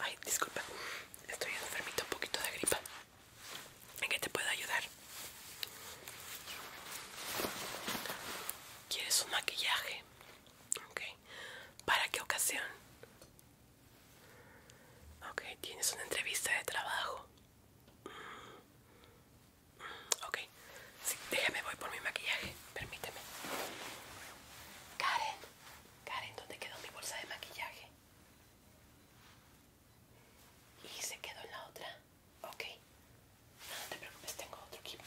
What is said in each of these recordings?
Ay, disculpa, estoy enfermita un poquito de gripa. ¿En qué te puedo ayudar? ¿Quieres un maquillaje? ¿Okay? ¿Para qué ocasión? Okay. tienes una entrevista de trabajo. Ok, déjame, voy por mi maquillaje, permíteme. Karen, Karen, ¿dónde quedó mi bolsa de maquillaje? Y se quedó en la otra. Ok, no, te preocupes, tengo otro equipo.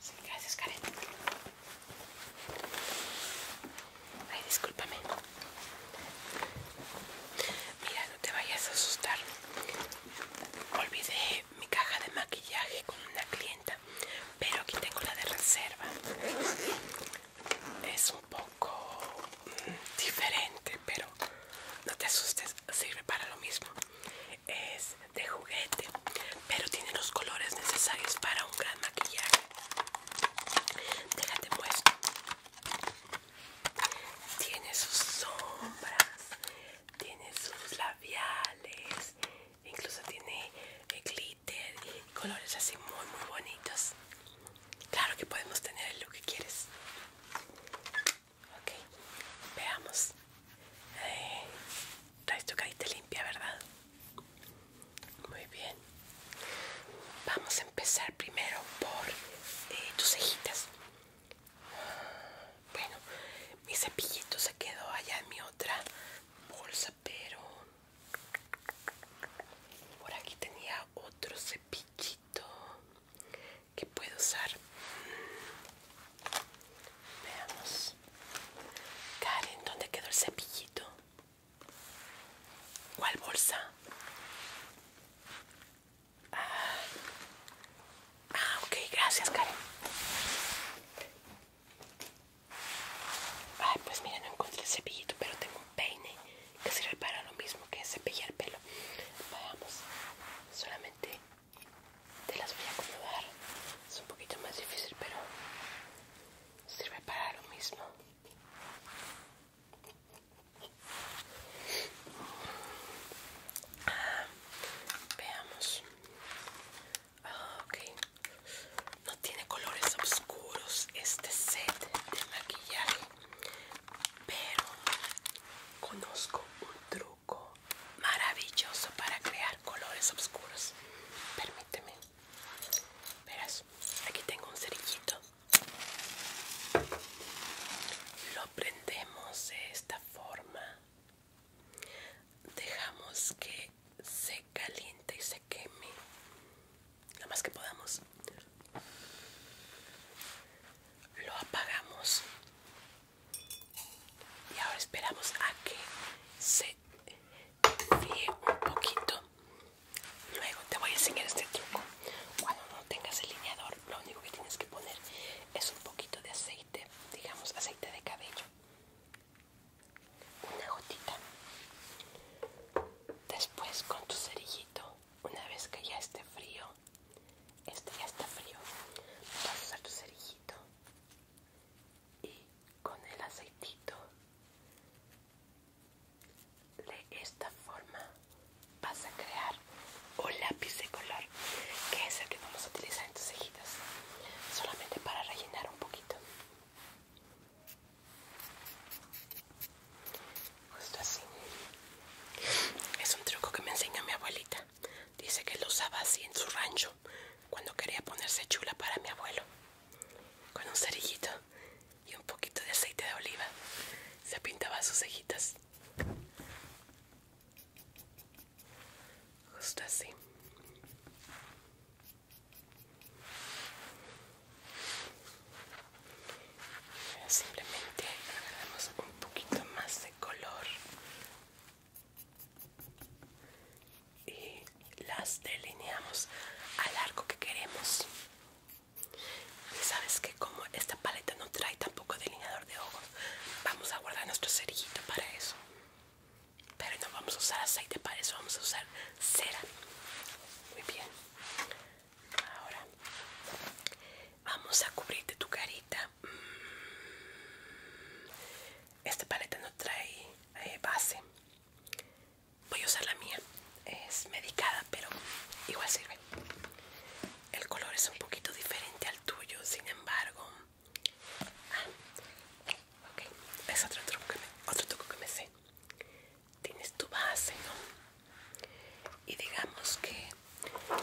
Sí, gracias, Karen. Ay, discúlpame. Mira, no te vayas a asustar. Olvidé mi caja de maquillaje con una clienta, pero aquí tengo la de reserva. Es un poco mm, diferente, pero no te asustes, sirve para lo mismo. Es de juguete, pero tiene los colores necesarios para un gran maquillaje. Déjate puesto tiene sus sombras, tiene sus labiales, incluso tiene glitter y colores así muy muy bonitos. Claro que podemos tener lo look que quieres. Ok, veamos. Eh, traes tu carita limpia, ¿verdad? Muy bien. Vamos a empezar primero por eh, tus cejitas. Bueno, mi cepillito se quedó allá en mi otra bolsa, pero por aquí tenía otro cepillito que puedo usar. Mm. Veamos. Karen, ¿dónde quedó el cepillito? ¿Cuál bolsa? Ah, ok, gracias, Karen. Ay, pues mira, no encontré el cepillito, pero tengo un peine que sirve para lo mismo que cepillar pelo. Vamos, solamente te las voy a acomodar. Es un poquito más difícil, pero sirve para lo mismo veamos. Ah, ok. No tiene colores oscuros este set de maquillaje. Pero conozco un truco maravilloso para crear colores oscuros. Permíteme. Verás, aquí tengo un cerillito lo prendemos de esta forma. Dejamos que se caliente y se queme. Lo más que podamos. Lo apagamos. Y ahora esperamos a que se fríe un poquito. Luego te voy a enseñar este truco. Cuando no tengas el lineador lo único que tienes que poner es un poquito de aceite, digamos aceite de cabello, una gotita. Después con tu cerillito, una vez que ya esté frío, este ya está frío, vas a usar tu cerillito y con el aceitito de esta forma vas a crear un lápiz de color, que es el que vamos a utilizar en tus cejitas, solamente para rellenar un poquito. Justo así. Es un truco que me enseña mi abuelita. Dice que lo usaba así en su rancho, cuando quería ponerse chula para mi abuelo. Con un cerillito y un poquito de aceite de oliva. Se pintaba sus cejitas. Justo así. simplemente agarramos un poquito más de color y las delineamos al arco que queremos. Y sabes que como esta paleta no trae tampoco delineador de ojos, vamos a guardar nuestro cerillito para eso. Pero no vamos a usar aceite para eso, vamos a usar cera. Muy bien. Ahora vamos a cubrirte tu carita. Mm. Esta paleta no trae eh, base. Voy a usar la mía es medicada, pero igual sirve. El color es un poquito diferente al tuyo, sin embargo. Ah, es otro truco, otro truco que me sé. Tienes tu base, ¿no? Y digamos que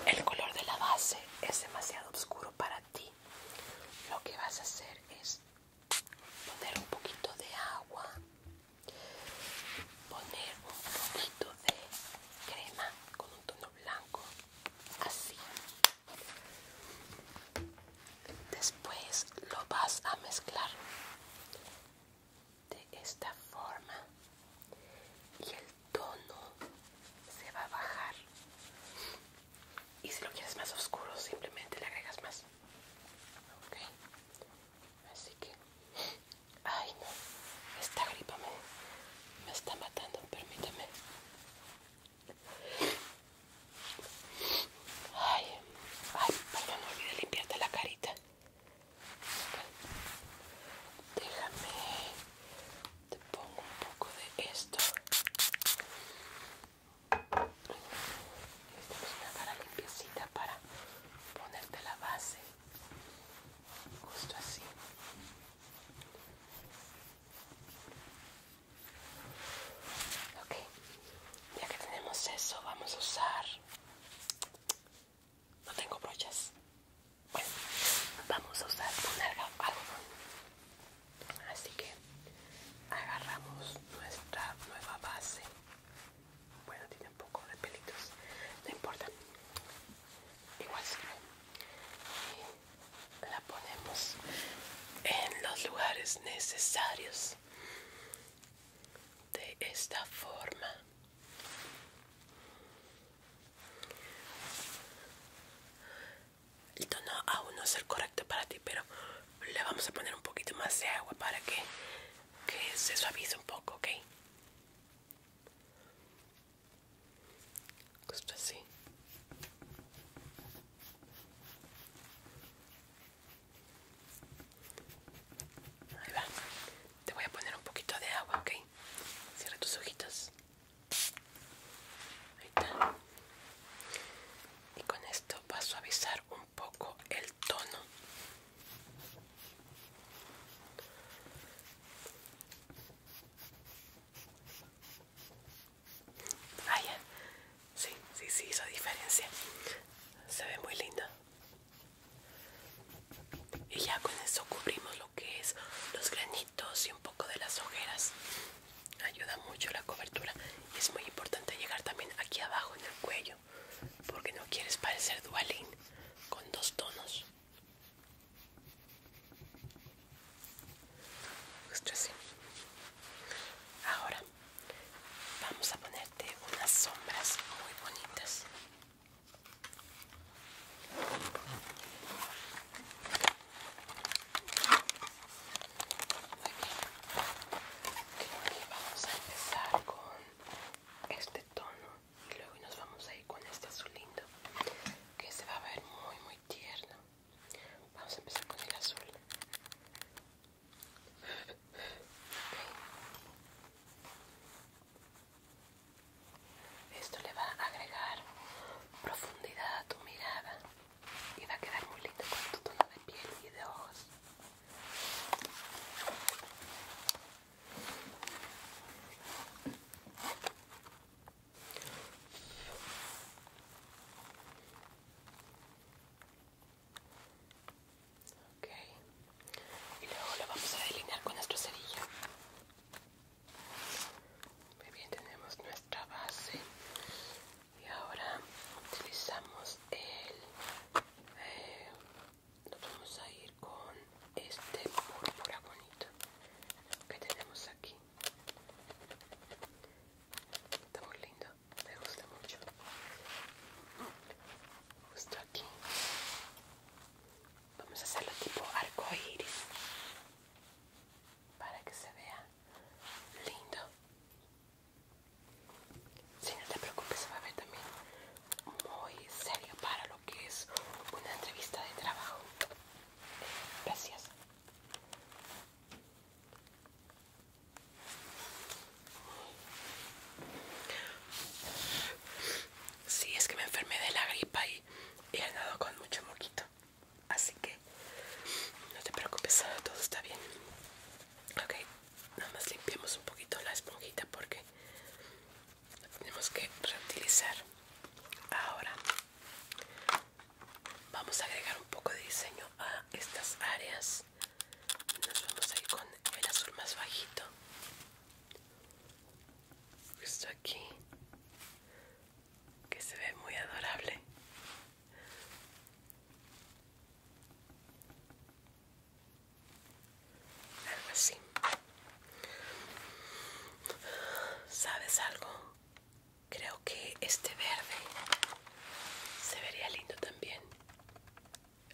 el color de la base es demasiado oscuro para ti. Lo que vas a hacer es poner un poquito de agua poner un poquito de crema con un tono blanco así después lo vas a mezclar de esta forma y el tono se va a bajar y si lo quieres más oscuro simplemente le agregas más ok así que Ay, no. Esta gripa me, está matando. permíteme. Ay, ay, no olvides limpiarte la carita. Déjame. Te pongo un poco de esto. Esta es una cara limpiecita para ponerte la base justo así ok ya que tenemos eso vamos a usar no tengo brochas bueno vamos a usar un algodón así que agarramos nuestra nueva base bueno un poco de pelitos, no importa, igual si la ponemos en los lugares necesarios de esta forma. El tono aún no es el correcto para ti, pero le vamos a poner un poquito más de agua para que, que se suavice un poco, ¿ok? Justo pues, así. Pues, Ahí va. Te voy a poner un poquito de agua, ¿ok? Cierra tus ojitos. Ahí está. Y con esto va a suavizar un poco el tono Ah, Sí, sí, sí, esa diferencia. Se ve muy linda Y ya con eso cubrimos lo que es los granitos y un poco de las ojeras. Ayuda mucho la cobertura. Y es muy importante llegar también aquí abajo en el cuello porque no quieres parecer dualín con dos tonos ahora vamos a ponerte unas sombras muy bonitas muy vamos a empezar con este tono y luego nos vamos a ir con este azul lindo que se va a ver muy muy tierno vamos a empezar con el azul Esto le va a agregar profundidad a tu mirada y va a quedar muy lindo con tu tono de piel y de ojos. Y luego lo vamos a delinear con nuestra cerilla Muy bien, tenemos nuestra base. Y ahora utilizamos el eh, vamos a ir con este púrpura bonito que tenemos aquí está muy lindo me gusta mucho justo aquí vamos a hacerlo tipo arco iris para que se vea lindo si no te preocupes, va a ver también muy serio para lo que es una entrevista de trabajo. Eh, gracias. Sí, es que me enfermé de la gripa y, y he andado con mucho moquito. Así que no te preocupes, todo está bien. Ok, nada más limpiamos un poquito la esponjita porque la tenemos que reutilizar ahora vamos a agregar un poco de diseño a estas áreas nos vamos a ir con el azul más bajito justo aquí que se ve muy adorable algo así sabes algo creo que este verde se vería lindo también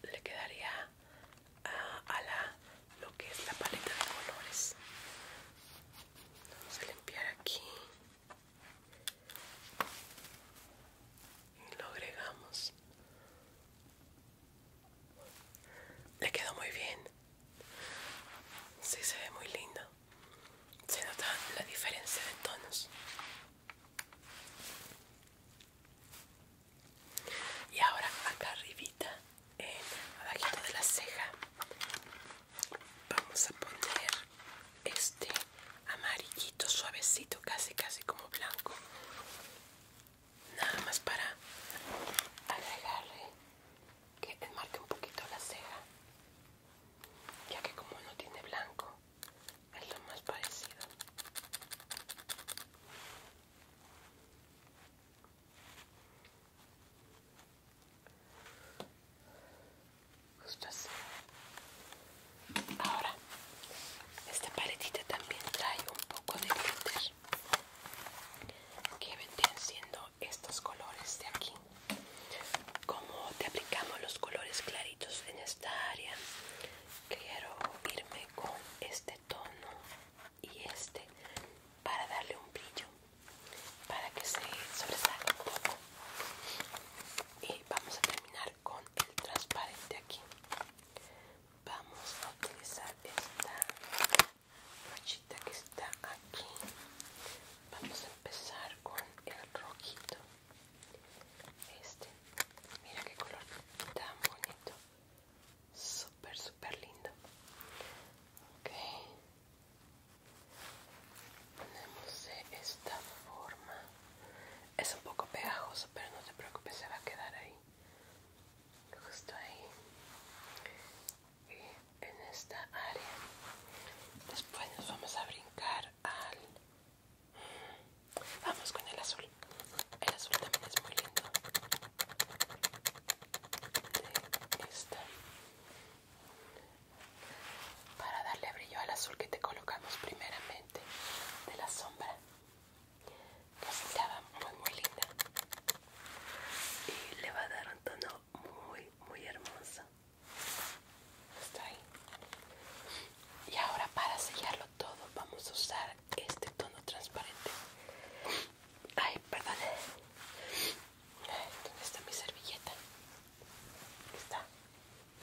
le quedaría ah, a la lo que es la paleta de colores vamos a limpiar aquí y lo agregamos le quedó muy bien. Sí, se ve muy lindo. Se nota la diferencia de tonos. Y ahora acá arribita, en abajito de la ceja, vamos a poner este amarillito suavecito, casi casi como blanco nada más para agregarle que enmarque un poquito la ceja ya que como no tiene blanco es lo más parecido justo así Ahora, esta paletita también trae un poco de glitter que vendrían siendo estos colores de aquí. Como te aplicamos los colores claritos en esta área, quiero irme con este tono y este para darle un brillo, para que se sobresalga un poco. Y vamos a terminar con el transparente aquí vamos a utilizar esta brochita que está aquí vamos a empezar con el rojito este mira qué color tan bonito súper súper lindo ok ponemos de esta forma es un poco pegajoso, pero no te preocupes, se va a quedar ahí. Justo ahí. Y en esta área. Después nos vamos a brincar al... Vamos con el azul. El azul también es muy lindo. De Para darle brillo al azul que te colocamos primeramente de la sombra estaba muy muy linda y le va a dar un tono muy muy hermoso está ahí y ahora para sellarlo todo vamos a usar este tono transparente ay perdón está mi servilleta? está también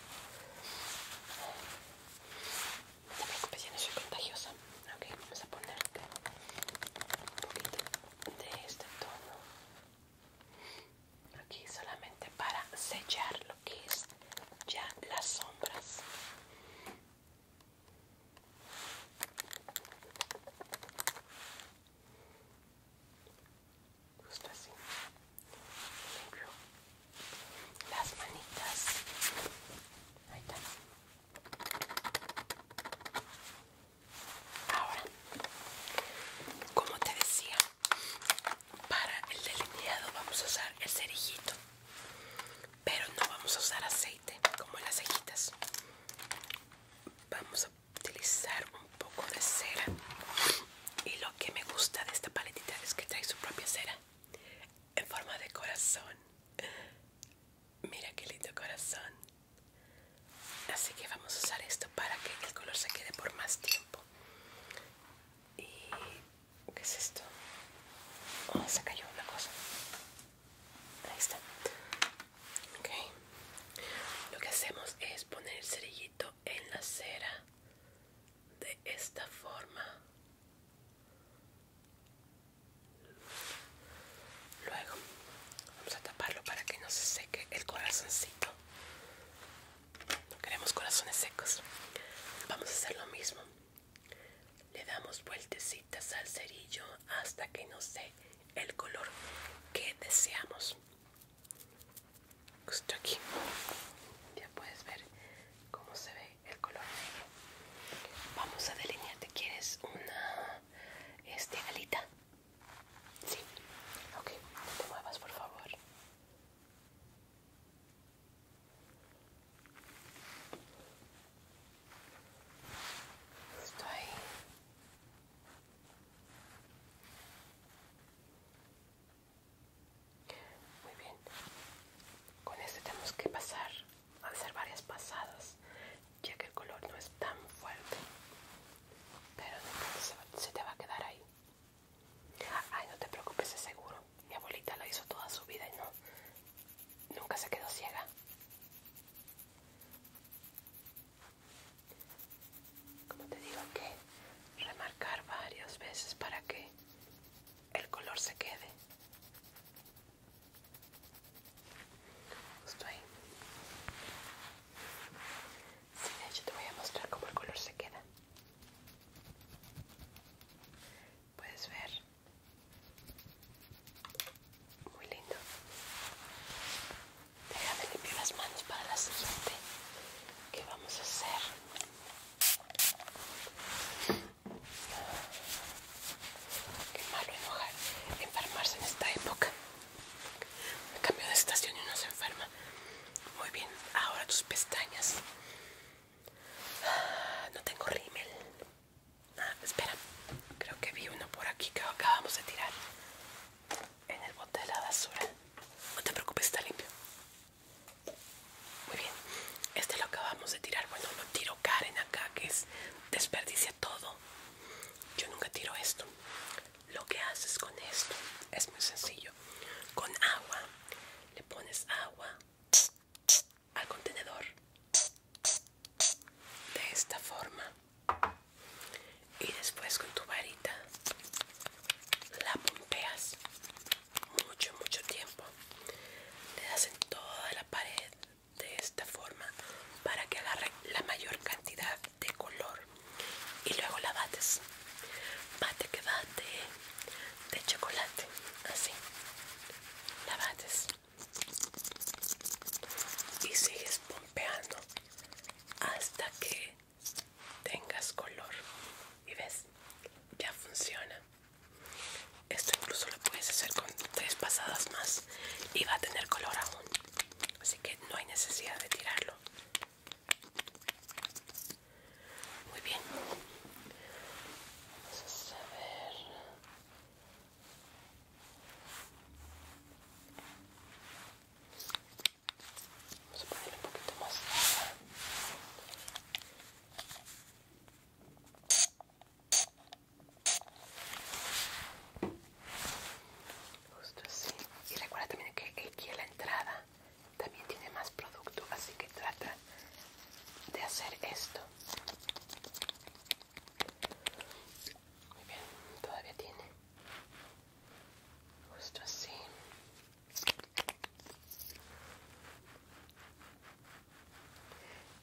te preocupes, ya no soy contagiosa. Ok, vamos a poner un poquito de este tono aquí solamente para sellar lo que es ya las sombras. Justo así. Limpio las manitas. Ahora, como te decía, para el delineado vamos a usar el cerijito pero no vamos a usar aceite como en las cejitas. Vamos a utilizar un poco de cera y lo que me gusta de esta paletita es que trae su propia cera en forma de corazón. Mira qué lindo corazón. Así que vamos a usar esto para que el color se quede por más tiempo. ¿Y qué es esto? Oh, se cayó una cosa. Ahí está. Ok. Lo que hacemos es poner el cerillito en la cera de esta forma. Luego vamos a taparlo para que no se seque el corazoncito. No queremos corazones secos. Vamos a hacer lo mismo. Le damos vueltecitas al cerillo hasta que nos dé el color que deseamos. Justo aquí. Ya puedes ver cómo se ve el color negro. Vamos a delinearte. quieres una este, alita? Sí, ok, no te muevas por favor. Estoy muy bien. Con este tenemos que pasar, hacer varias pasadas, ya que el color no es tan fuerte. Pero no se te va a quedar ahí. Ay, no te preocupes, es seguro. Mi abuelita lo hizo toda su vida y no, nunca se quedó ciega. Como te digo que remarcar varias veces para que el color se quede justo ahí de hecho te voy a mostrar cómo el color se queda puedes ver muy lindo déjame limpiar las manos para la siguiente que vamos a hacer Qué malo enojar, enfermarse en esta época. cambio de estación y uno se enferma. Muy bien, ahora tus pestañas. Ah, no tengo rímel. Ah, espera, creo que vi uno por aquí que acabamos de tirar en el bote de la basura. No te preocupes, está limpio. Muy bien, este lo acabamos de tirar. Bueno, lo tiro Karen acá, que es desperdicia todo. Yo nunca tiro esto. Lo que haces con esto es muy sencillo. Con agua, le pones agua al contenedor. De esta forma. Y después con tu varita la pompeas mucho mucho tiempo le das en toda la pared de esta forma para que agarre la mayor cantidad de color y luego la bates bate que bate de chocolate así la bates y sigues pompeando hasta que tengas color y ves ya funciona. Esto incluso lo puedes hacer con tres pasadas más y va a tener color aún. Así que no hay necesidad de tirarlo. Muy bien. Vamos a ver. Vamos a un poquito más. Justo así. Y recuerda también que aquí en la entrada también tiene más producto, así que trata de hacer esto. Muy bien, todavía tiene. Justo así.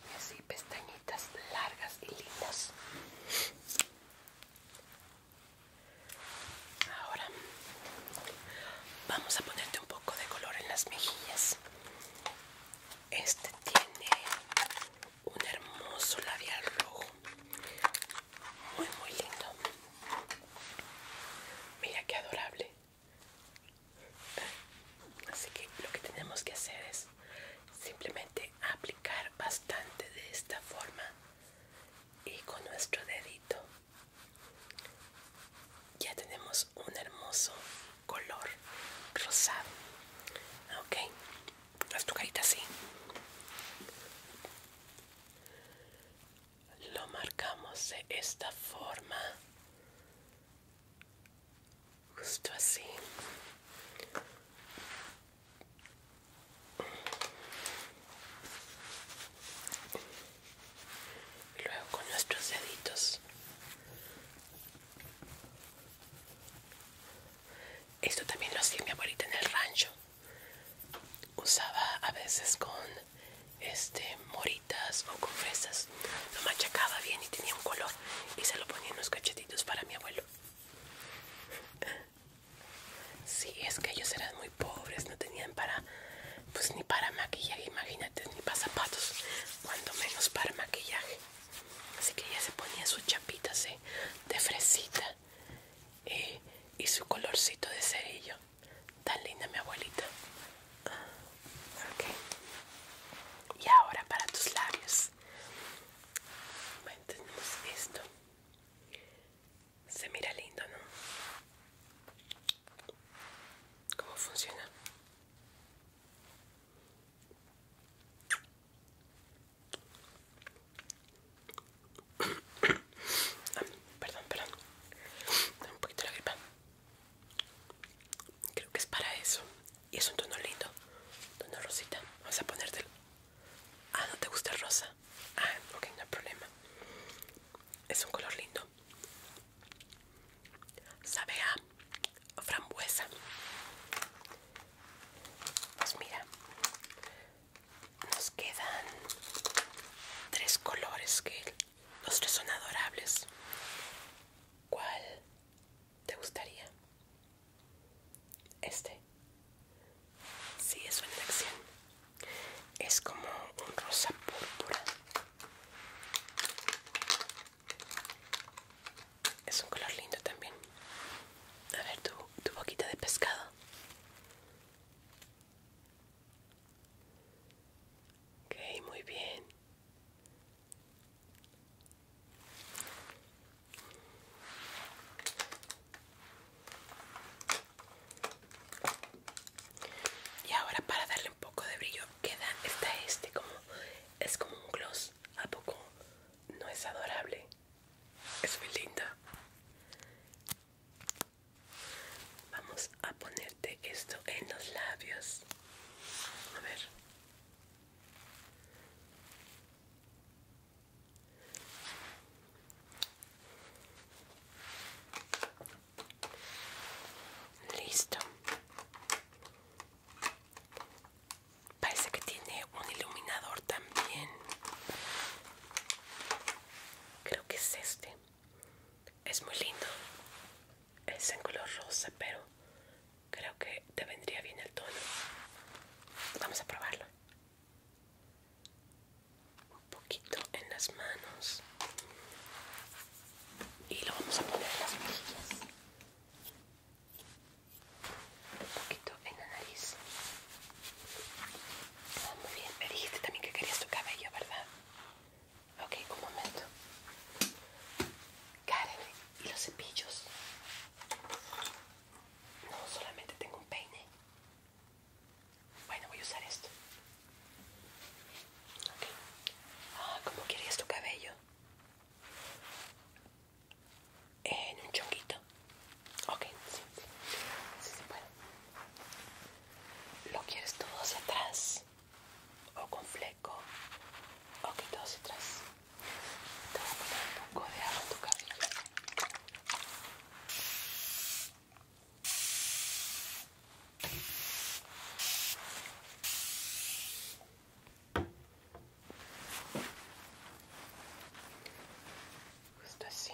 Y así pestañitas largas y lindas. Ahora vamos a ponerte un poco de color en las mejillas. Este tiene un hermoso labial rojo. Muy, muy lindo. Mira qué adorable. Así que lo que tenemos que hacer es simplemente aplicar bastante de esta forma y con nuestro dedito ya tenemos un hermoso color rosado. Ok, haz tu carita así lo marcamos de esta forma justo así luego con nuestros deditos esto también lo hacía mi abuelita en el rancho usaba a veces con este, moritas o con fresas. Lo machacaba bien y tenía un color y se lo ponía en los cachetitos para mi abuelo. si, es que ellos eran muy pobres, no tenían para, pues ni para maquillaje, imagínate, ni para zapatos, cuando menos para maquillaje. Así que ella se ponía sus chapitas ¿eh? de fresita eh, y su colorcito de cerillo. Tan linda mi abuelita. Y ahora para tus labios. tenemos esto. Se mira lindo, ¿no? ¿Cómo funciona? perdón, perdón. un poquito la gripa. Creo que es para eso. Y es un tono lindo. Tono rosita. Vamos a ponértelo. Ah, ¿no te gusta el rosa? Ah, ok, no hay problema. Es un color lindo. Sabe a frambuesa. Pues mira, nos quedan tres colores que los tres son adorables. ¿Cuál te gustaría? Este. Sí, es una elección. Es como un rosa púrpura. Es un color lindo también. A ver, tu, tu boquita de pescado. Ok, muy bien. Y ahora para darle un poco de brillo queda esta este como es como un gloss, a poco no es adorable. Es muy linda. Vamos a ponerte esto en los labios. A ver. Listo. Parece que tiene un iluminador también. Creo que es este. Es muy lindo. Es en color rosa, pero creo que te vendría bien el tono. Vamos a probarlo. Un poquito en las manos. Y lo vamos a poner en las mejillas. Un poquito en la nariz. Ah, muy bien. Me dijiste también que querías tu cabello, ¿verdad? Ok, un momento. Karen, ¿y los cepillos? No, solamente tengo un peine. Bueno, voy a usar esto. Ok. Ah, ¿cómo querías tu cabello? En un chonguito. Ok, sí, sí. Sí, ¿Lo quieres todo hacia atrás? ¿O con fleco? ¿O que todo hacia atrás? Te voy a poner un poco de agua en tu cabello. Justo así.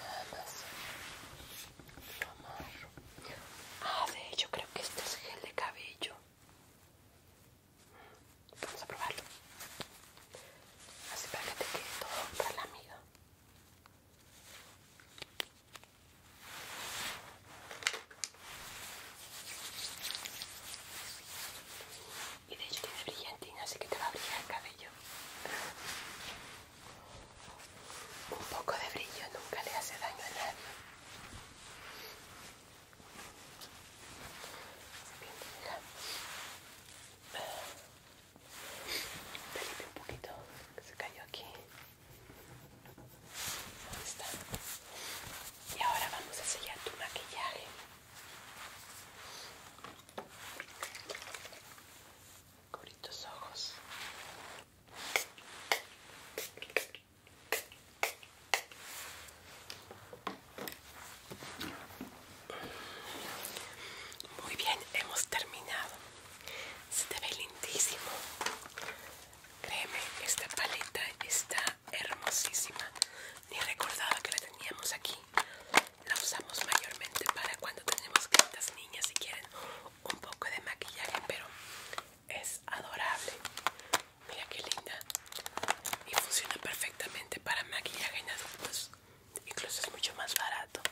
Nada más. Ah, de hecho creo que este es gel de cabello. Vamos a probarlo. Así para que te quede todo para amiga. Y de hecho tiene brillantina, así que te va a brillar el cabello. Un poco de brillo nunca le hace daño a nadie. un poquito, se cayó aquí. Ahí está. Y ahora vamos a sellar tu maquillaje. Cubrí ojos. Muy bien, hemos terminado. Se te ve lindísimo. Créeme, esta paleta está hermosísima. Ni recordaba que la teníamos aquí. La usamos mayormente para cuando tenemos clientas niñas y quieren un poco de maquillaje, pero es adorable. Mira qué linda. Y funciona perfectamente para maquillaje en adultos. Incluso es mucho más barato.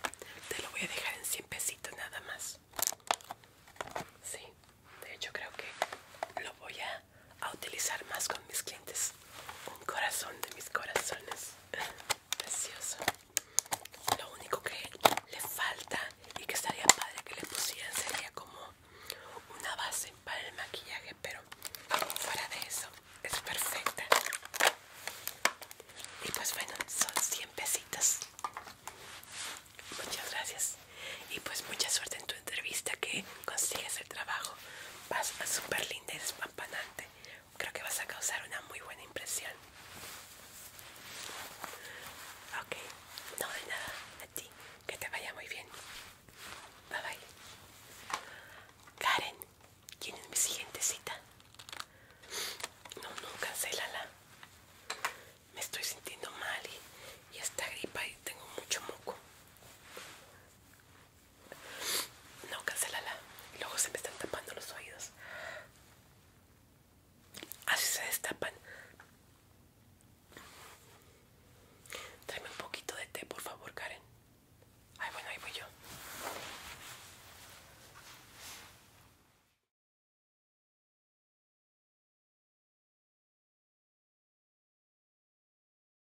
Te lo voy a dejar en 100 pesitos nada más. Sí, de hecho creo que lo voy a utilizar más con mis clientes. Un corazón de mis corazones. precioso lo único que le falta y que estaría padre que le pusieran sería como una base para el maquillaje pero fuera de eso es perfecta y pues bueno son 100 pesitos muchas gracias y pues mucha suerte en tu entrevista que consigues el trabajo vas a super linda y despampanante creo que vas a causar una muy buena impresión. Ok, no de nada, a ti, que te vaya muy bien. Bye bye. Karen, ¿quién es mi siguiente cita? No, no, cancelala. Me estoy sintiendo mal y, y esta gripa y tengo mucho moco. No, cancelala. Luego se me están tapando los oídos. Así se destapan. Tráeme un poquito de té, por favor, Karen. Ay, bueno, ahí voy yo.